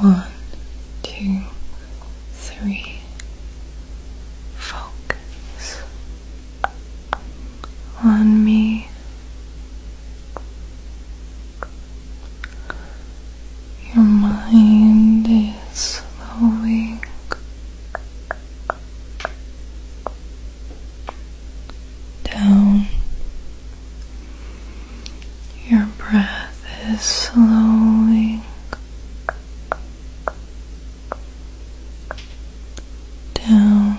One, two, three. Focus on me. Your mind is slowing down. Your breath is slowing down.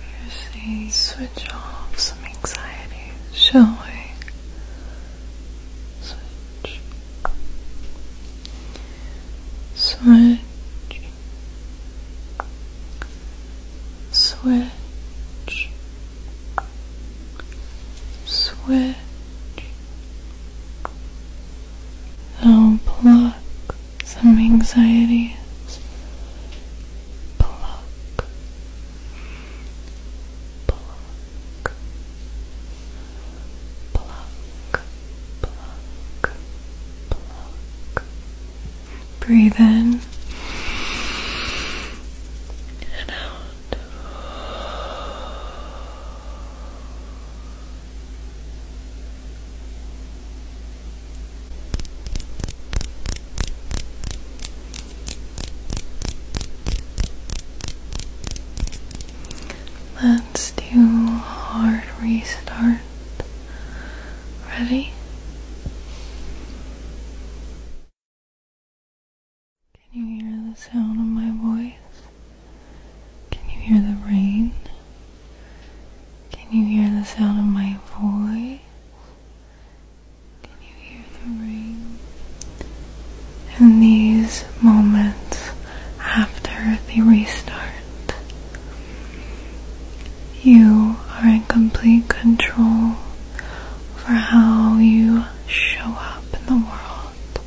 You see, switch off some anxiety showing switch, switch, switch, switch. I'll block some anxieties, block pluck, pluck, pluck, pluck. Breathe in and out. Let's do a hard restart. Ready? Can you hear the sound of my voice? Can you hear the rain? Can you hear the sound of my voice? In these moments after the restart, you are in complete control for how you show up in the world.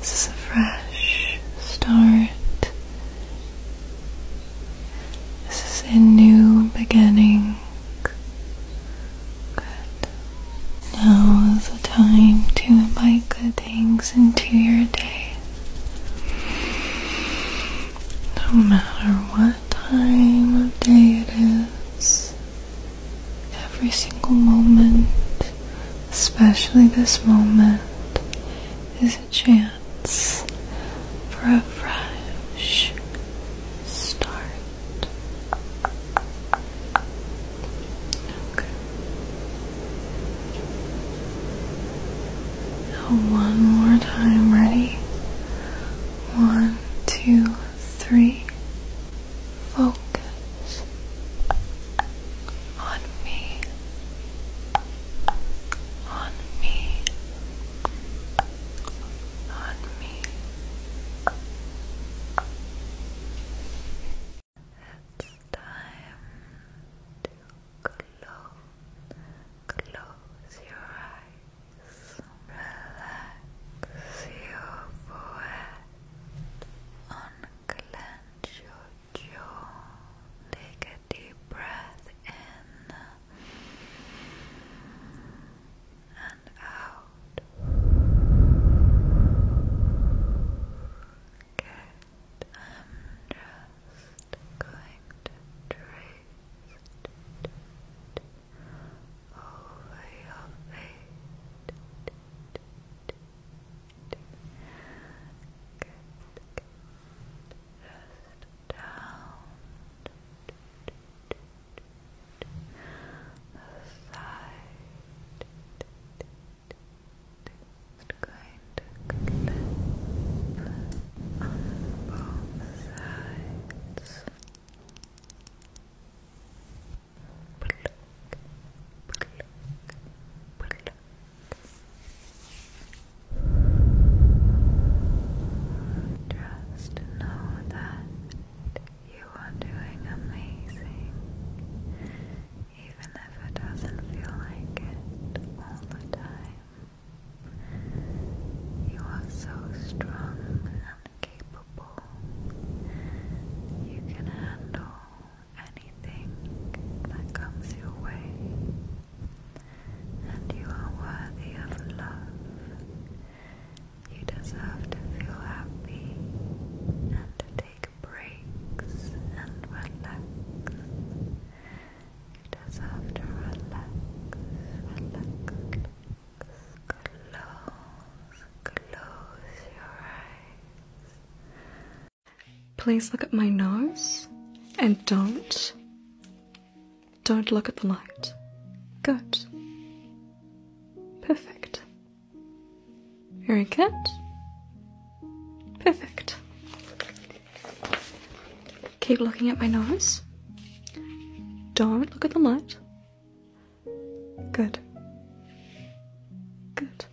This is a fresh start. This is a new beginning. Now is the time to invite good things into your day. No matter what time of day it is, every single moment, especially this moment, is a chance for a fresh start one more time, ready? One, two, three. Focus on me, on me, on me. It's time to close, close your eyes, relax your forehead, unclench your jaw, take a deep breath in and out. Good. I'm just going to trace over your face. Good, Just down the side. going to on both sides. Pluck, pluck, pluck. Just know that you are doing amazing, even if it doesn't feel like it all the time. You are so strong and capable. You can handle anything that comes your way and you are worthy of love. You deserve to feel happy and to take breaks and relax. You deserve to relax, relax, Close, close your eyes. Please look at my nose and don't don't look at the light. Good. Perfect. Very good. Perfect. Keep looking at my nose. Don't look at the light. Good. Good.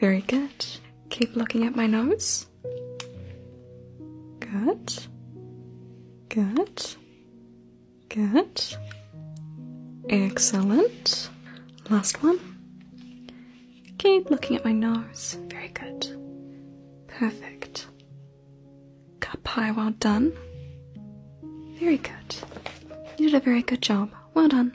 Very good. Keep looking at my nose. Yes. Good. Good. Good. Excellent. Last one. Keep looking at my nose. Very good. Perfect. Cup pie, well done. Very good. You did a very good job. Well done.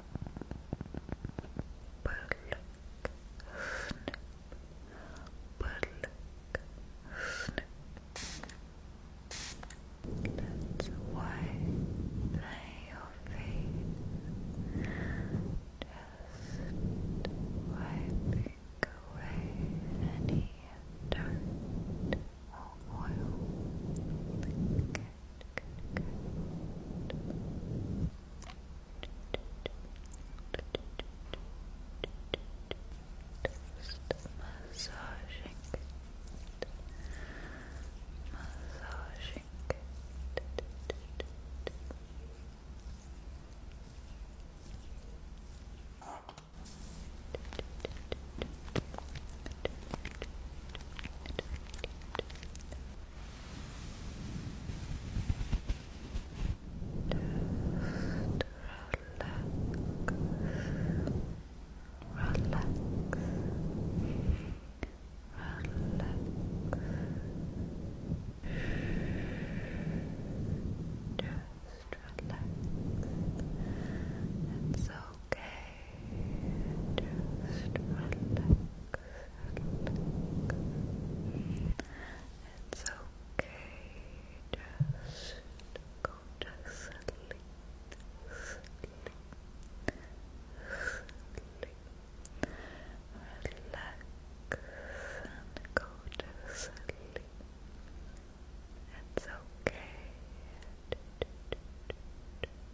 Burlock, snip, burlock, snip. That's why lay your feet just wiping away any dirt or just massaging it. Massaging it. Massaging relax, relax, relax. Just relax. It's okay. Just relax, It's okay. Just go to sleep, sleep. Relax and go to sleep. It's okay.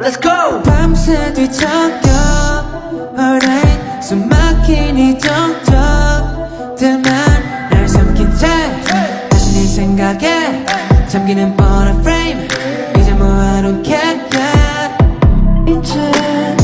Let's go! 밤새 뒤척여 Alright 숨 막히니 쩍쩍 틈만 날 삼킨 채 다시 네 생각에 잠기는 뻔한 frame 이제 뭐 I don't care yeah. 이제